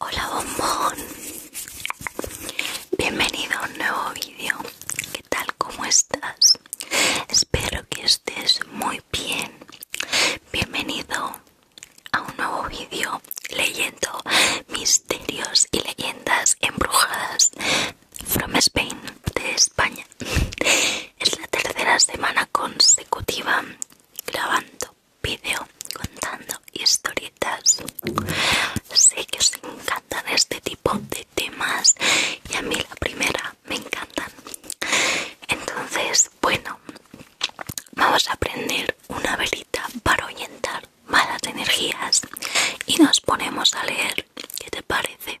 Hola bombón, bienvenido a un nuevo vídeo. ¿Qué tal? ¿Cómo estás? Espero que estés muy bien. Bienvenido a un nuevo vídeo leyendo misterios y leyendas embrujadas from Spain de España. Es la tercera semana consecutiva grabando vídeo contando historietas. Sé que se encantan este tipo de temas y a mí la primera me encantan. Entonces, bueno, vamos a prender una velita para ahuyentar malas energías y nos ponemos a leer. ¿Qué te parece?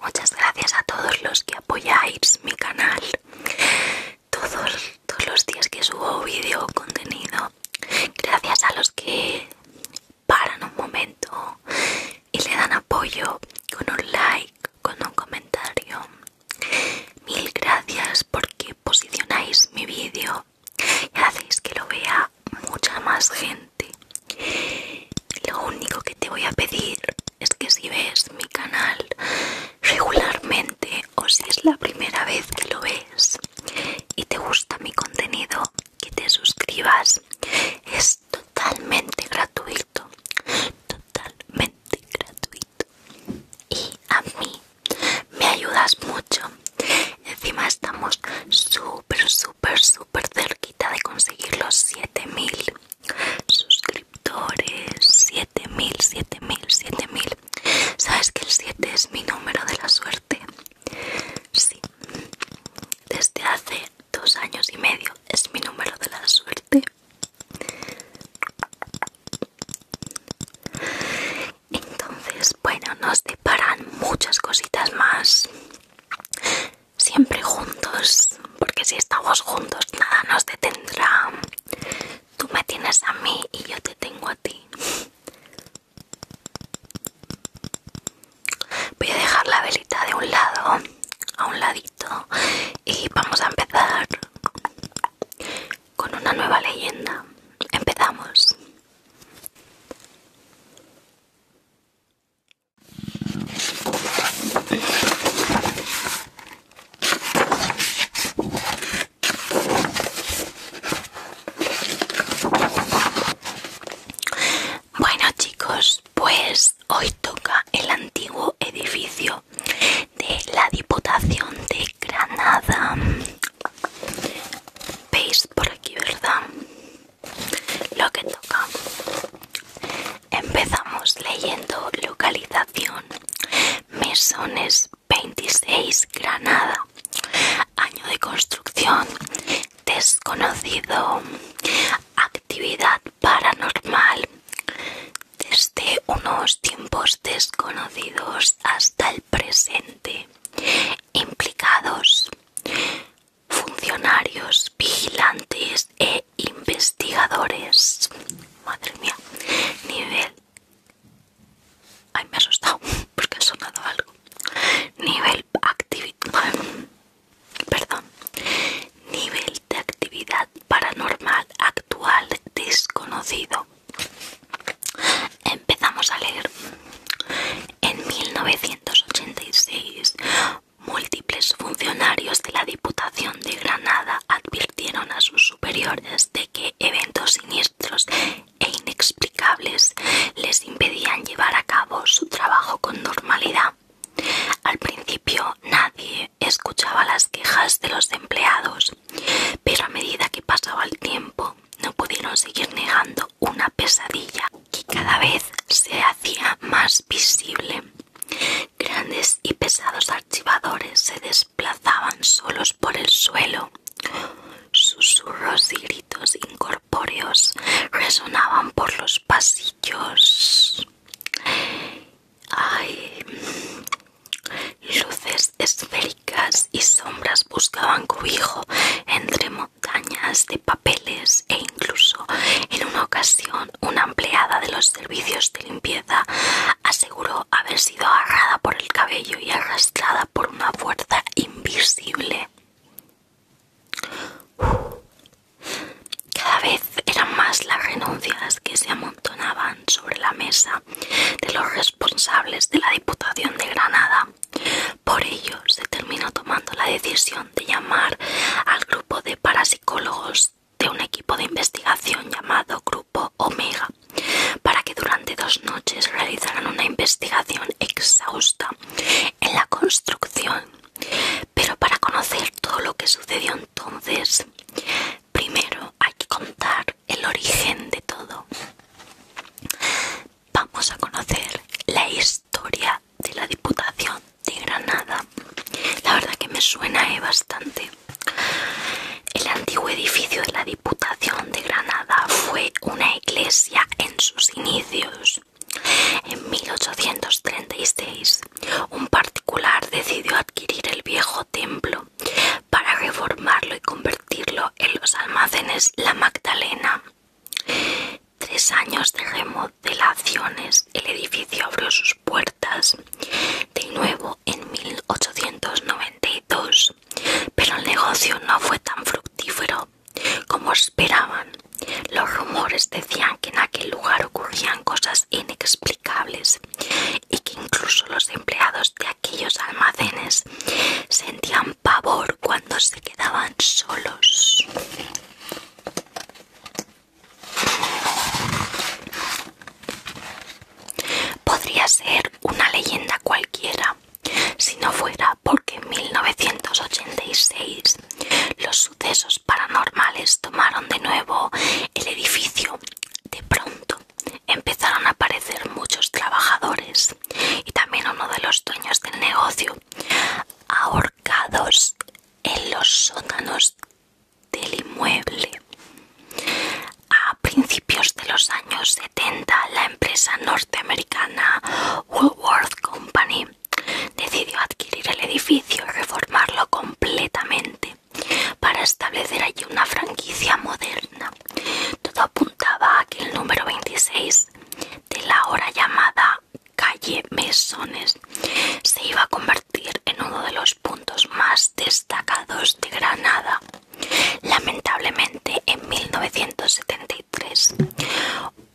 Muchas gracias a todos los que apoyáis mi canal, todos todos los días que subo vídeo o contenido, gracias a los que paran un momento y le dan apoyo con un like, con un comentario. Mil gracias porque posicionáis mi vídeo y hacéis que lo vea mucha más gente. Lo único que te voy a pedir es que si ves mi canal regularmente, o si es la primera vez que lo ves y te gusta mi contenido, que te suscribas. Es totalmente gratuito. Totalmente gratuito. Y a mí me ayudas mucho. Encima estamos súper, súper, súper cerquita de conseguir los 7000 suscriptores. 7000, 7000, 7000 ¿Sabes que el 7 es mi número de la suerte? Sí. Desde hace dos años y medio es mi número de la suerte. Entonces, bueno, nos deparan muchas cositas más. Siempre juntos, porque si estamos juntos nada nos detendrá. Tú me tienes a mí y yo te tengo a ti. Voy a dejar la velita de un lado, a un ladito, y vamos a empezar con una nueva leyenda. Empezamos. Bueno chicos, pues hoy toca el antiguo edificio de la Diputación de Granada. Veis por aquí, ¿verdad? Lo que toca. Empezamos leyendo localización. Mesones 26 Granada. Año de construcción desconocido. Actividad paranormal. Desde unos tiempos desconocidos hasta el presente. Implicados. Funcionarios, vigilantes e investigadores. Madre mía. Nivel Ay, me he asustado porque ha sonado algo. Nivel actividad. Perdón. Nivel de actividad paranormal actual desconocido. Empezamos a leer. En 1986, múltiples funcionarios de la Diputación de Granada advirtieron a sus superiores de que eventos siniestros e inexplicables les impedían llevar a cabo su trabajo con normalidad. Al principio nadie escuchaba las quejas de los empleados, pero a medida que pasaba el tiempo no pudieron seguir negando una pesadilla que cada vez se hacía más visible. Grandes y pesados archivadores se plazaban solos por el suelo. Susurros y gritos incorpóreos resonaban por los pasillos. Luces esféricas y sombras buscaban cobijo entre montañas de papeles e incluso en una ocasión una empleada de los servicios de limpieza aseguró haberse sido agarrada por el cabello y arrastrada por una fuerza invisible. Cada vez eran más las renuncias que se amontonaban sobre la mesa de los responsables de la Diputación de Granada. Por ello se terminó tomando la decisión de llamar al grupo de parapsicólogos de un equipo de investigación llamado Grupo Omega para que durante dos noches realizaran una investigación exhausta en la construcción. Pero para conocer todo lo que sucedió entonces, primero hay que contar el origen de todo. Vamos a conocer la historia de la Diputación de Granada. La verdad que me suena eh, bastante. El antiguo edificio de la Diputación de Granada fue una iglesia en sus inicios. En 1836, un particular decidió adquirir el viejo templo para reformarlo y convertirlo en los almacenes La Magdalena. Tres años de remodelaciones, el edificio abrió sus puertas de nuevo en 1892 pero el negocio no fue tan fructífero como esperaban. Los rumores decían que en aquel lugar ocurrían cosas inexplicables y que incluso los empleados de aquellos almacenes sentían pavor cuando se quedaban solos. Podría ser una leyenda cualquiera, si no fuera porque en 1986 los sucesos paranormales tomaron de nuevo el edificio. De pronto empezaron a aparecer muchos trabajadores y también uno de los dueños del negocio ahorcados en los sótanos del inmueble. A principios de los años 70, la empresa norteamericana Woolworth Company decidió adquirir el edificio y reformarlo completamente para establecer allí una franquicia moderna. Todo apuntaba a que el número 26 de la ahora llamada calle Mesones se iba a convertir en uno de los puntos más destacados de Granada Lamentablemente, en 1973,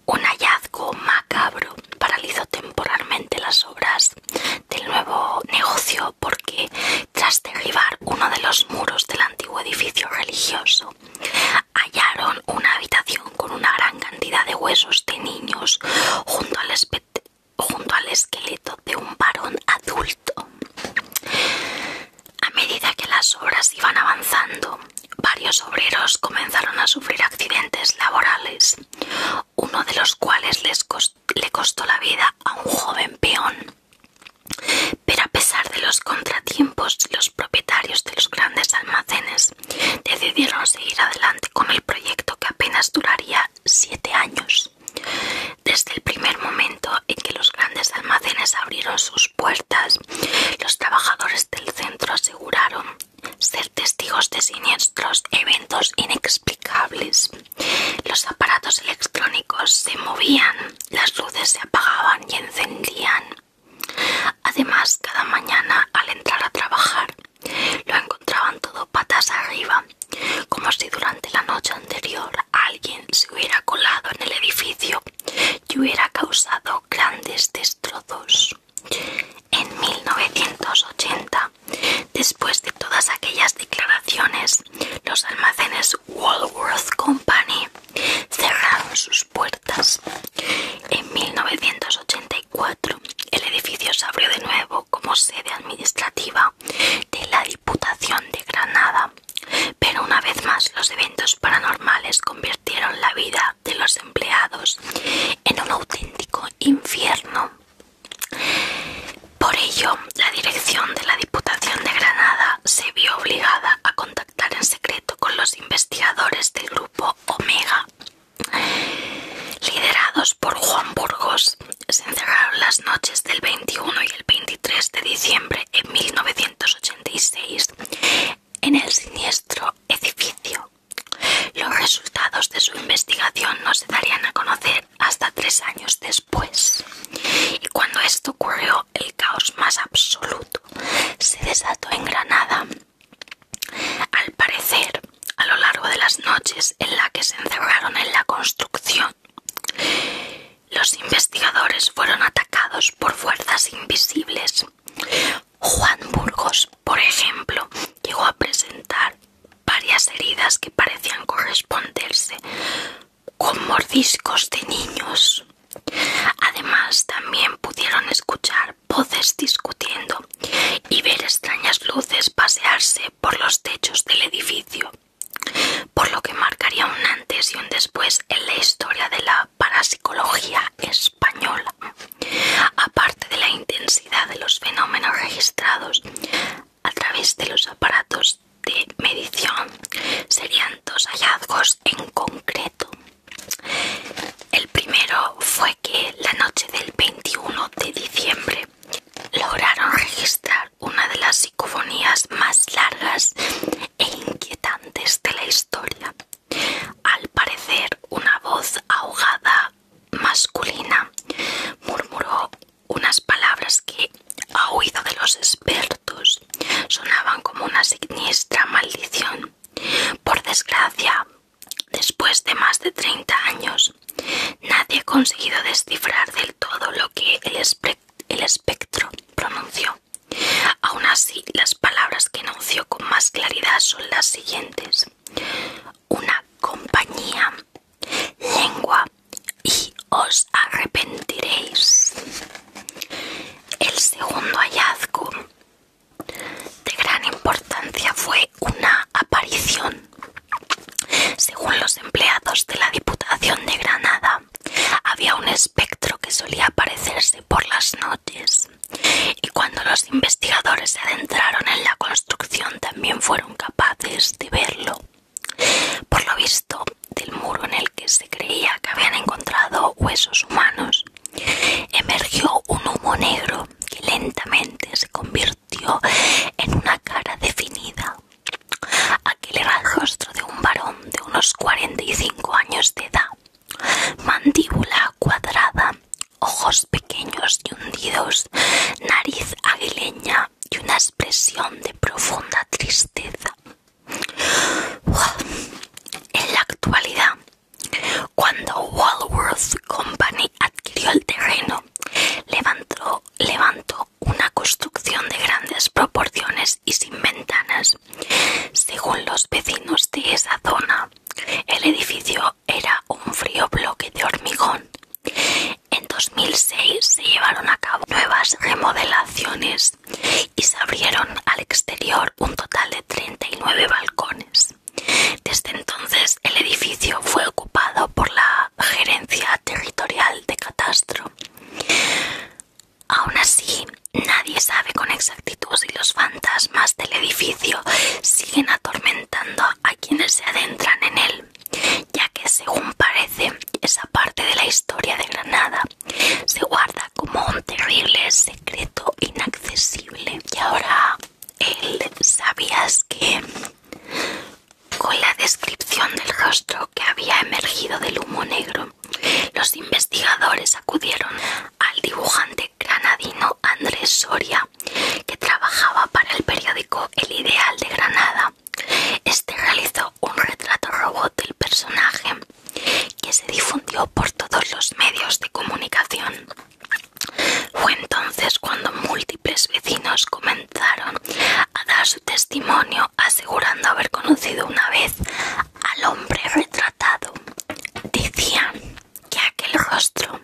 un hallazgo macabro paralizó temporalmente las obras del nuevo negocio porque, tras derribar uno de los muros del antiguo edificio religioso, hallaron una habitación con una gran cantidad de huesos de niños junto al, esqueleto de un varón adulto. A medida que las obras iban avanzando, varios obreros comenzaron a sufrir accidentes laborales, uno de los cuales les le costó la vida a un joven peón. Pero a pesar de los contratiempos, los propietarios de los grandes almacenes decidieron seguir adelante con el proyecto que apenas duraría siete años. Desde el primer momento en que los grandes almacenes abrieron sus puertas, los trabajadores del centro aseguraron ser testigos de siniestros eventos inexplicables. Los aparatos electrónicos se movían, las luces se apagaban y encendían. Además, cada mañana al entrar a trabajar, lo encontraban todo patas arriba, como si durante la noche anterior alguien se hubiera colado en el edificio y hubiera causado grandes destrozos. En 1980, después de todas aquellas declaraciones, los almacenes Walworth Company cerraron sus puertas. En 1984, el edificio se abrió de nuevo como sede administrativa de la Diputación de Granada. Pero una vez más los eventos paranormales convirtieron la vida de los empleados en un auténtico infierno. Por ello, la dirección de la Diputación de Granada se vio obligada a contactar en secreto con los investigadores del grupo Omega. Liderados por Juan Burgos, se encerraron las noches del 21 y el 23 de diciembre en 19 en el siniestro edificio. Los resultados de su investigación no se darían a conocer hasta tres años después. Y cuando esto ocurrió, el caos más absoluto se desató en Granada. Al parecer, a lo largo de las noches en las que se encerraron en la construcción, los investigadores fueron atacados por fuerzas invisibles. Juan Burgos, por ejemplo, llegó a presentar varias heridas que parecían corresponderse con mordiscos de niños. Además, también pudieron escuchar voces discutiendo y ver extrañas luces pasearse por los techos del edificio por lo que marcaría un antes y un después en la historia de la parapsicología española. Aparte de la intensidad de los fenómenos registrados a través de los aparatos de medición, serían dos hallazgos en concreto. El primero fue que la noche del 21 de diciembre lograron registrar una de las psicofonías más largas e inquietantes de la historia. Al parecer, una voz ahogada masculina murmuró unas palabras que, a oído de los expertos, sonaban como una siniestra maldición. Por desgracia, después de más de 30 años, nadie ha conseguido descifrar del todo lo que el el espectro pronunció. Aún así, las palabras que enunció con más claridad son las siguientes. Una compañía, lengua y os arrepentiréis. El segundo hallazgo de gran importancia fue una aparición. Según los empleados de la Diputación de Granada, había un espectro que solía aparecerse por las noches y cuando los investigadores se adentraron en la construcción también fueron capaces de verlo. Por lo visto, del muro en el que se creía que habían encontrado huesos humanos, emergió un humo negro que lentamente se convirtió en una cara definida Aquel era el rostro de un varón de unos 45 años de edad, mandíbula cuadrada, ojos pequeños y hundidos, nariz aguileña y una expresión de profunda tristeza. En la actualidad, cuando Walworth Company adquirió el terreno, levantó, levantó una construcción de grandes proporciones y sin ventanas. Según los vecinos de esa zona, el edificio era un frío bloque de hormigón. En 2006 se llevaron a cabo nuevas remodelaciones y se abrieron al exterior un total de 39 balcones. Desde entonces el edificio fue ocupado por la Gerencia Territorial de Catastro. Aún así, nadie sabe con exactitud si los fantasmas del edificio siguen atormentando a quienes se adentran en él, ya que según parece, esa parte de la historia de Granada se guarda como un terrible secreto inaccesible. Y ahora, él, ¿sabías que con la descripción del rostro que había emergido del humo negro los investigadores acudieron al dibujante granadino Andrés Soria, que trabajaba para el periódico El Ideal de Granada. Este realizó un retrato robot del personaje que se difundió por todos los medios de comunicación. Fue entonces cuando múltiples vecinos comenzaron a dar su testimonio asegurando haber conocido una vez al hombre retratado. Decía que aquel rostro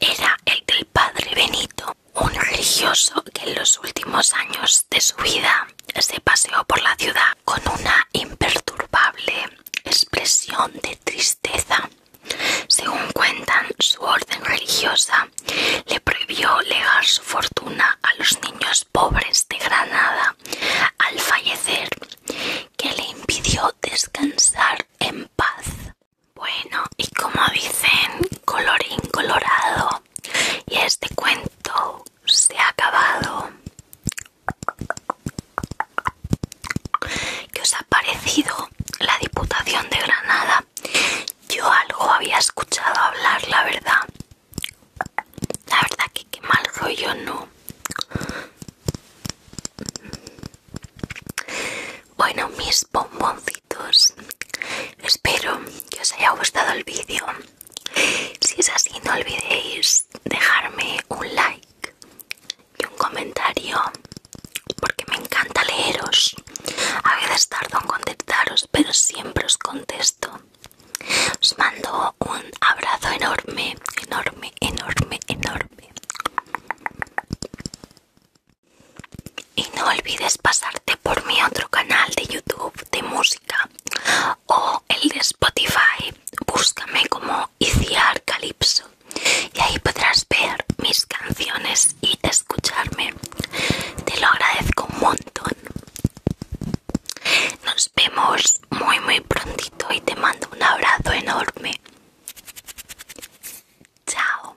era el del padre Benito, un religioso que en los últimos años de su vida se paseó por la ciudad con una imperturbable expresión de tristeza. Según cuentan, su orden religiosa le prohibió legar su fortuna a los niños pobres de Granada al fallecer, que le impidió descansar en paz. Bueno, y como dicen, colorín colorado, y este cuento se ha acabado. ¿Qué os ha parecido la Diputación de Granada? Yo algo había escuchado hablar, la verdad, la verdad que qué mal rollo, ¿no? Bueno, mis bomboncitos, espero que os haya gustado el vídeo. Si es así, no olvidéis dejarme un like y un comentario, porque me encanta leeros. A veces tardo en contestaros, pero siempre os contesto. Os mando un abrazo enorme, enorme, enorme, enorme. Y no olvides pasarte por mi otro canal de YouTube de música o el de Spotify. Búscame como Iciar Calypso y ahí podrás ver mis canciones y escucharme. Te lo agradezco un montón. Nos vemos muy muy prontito y te mando un abrazo enorme. Chao.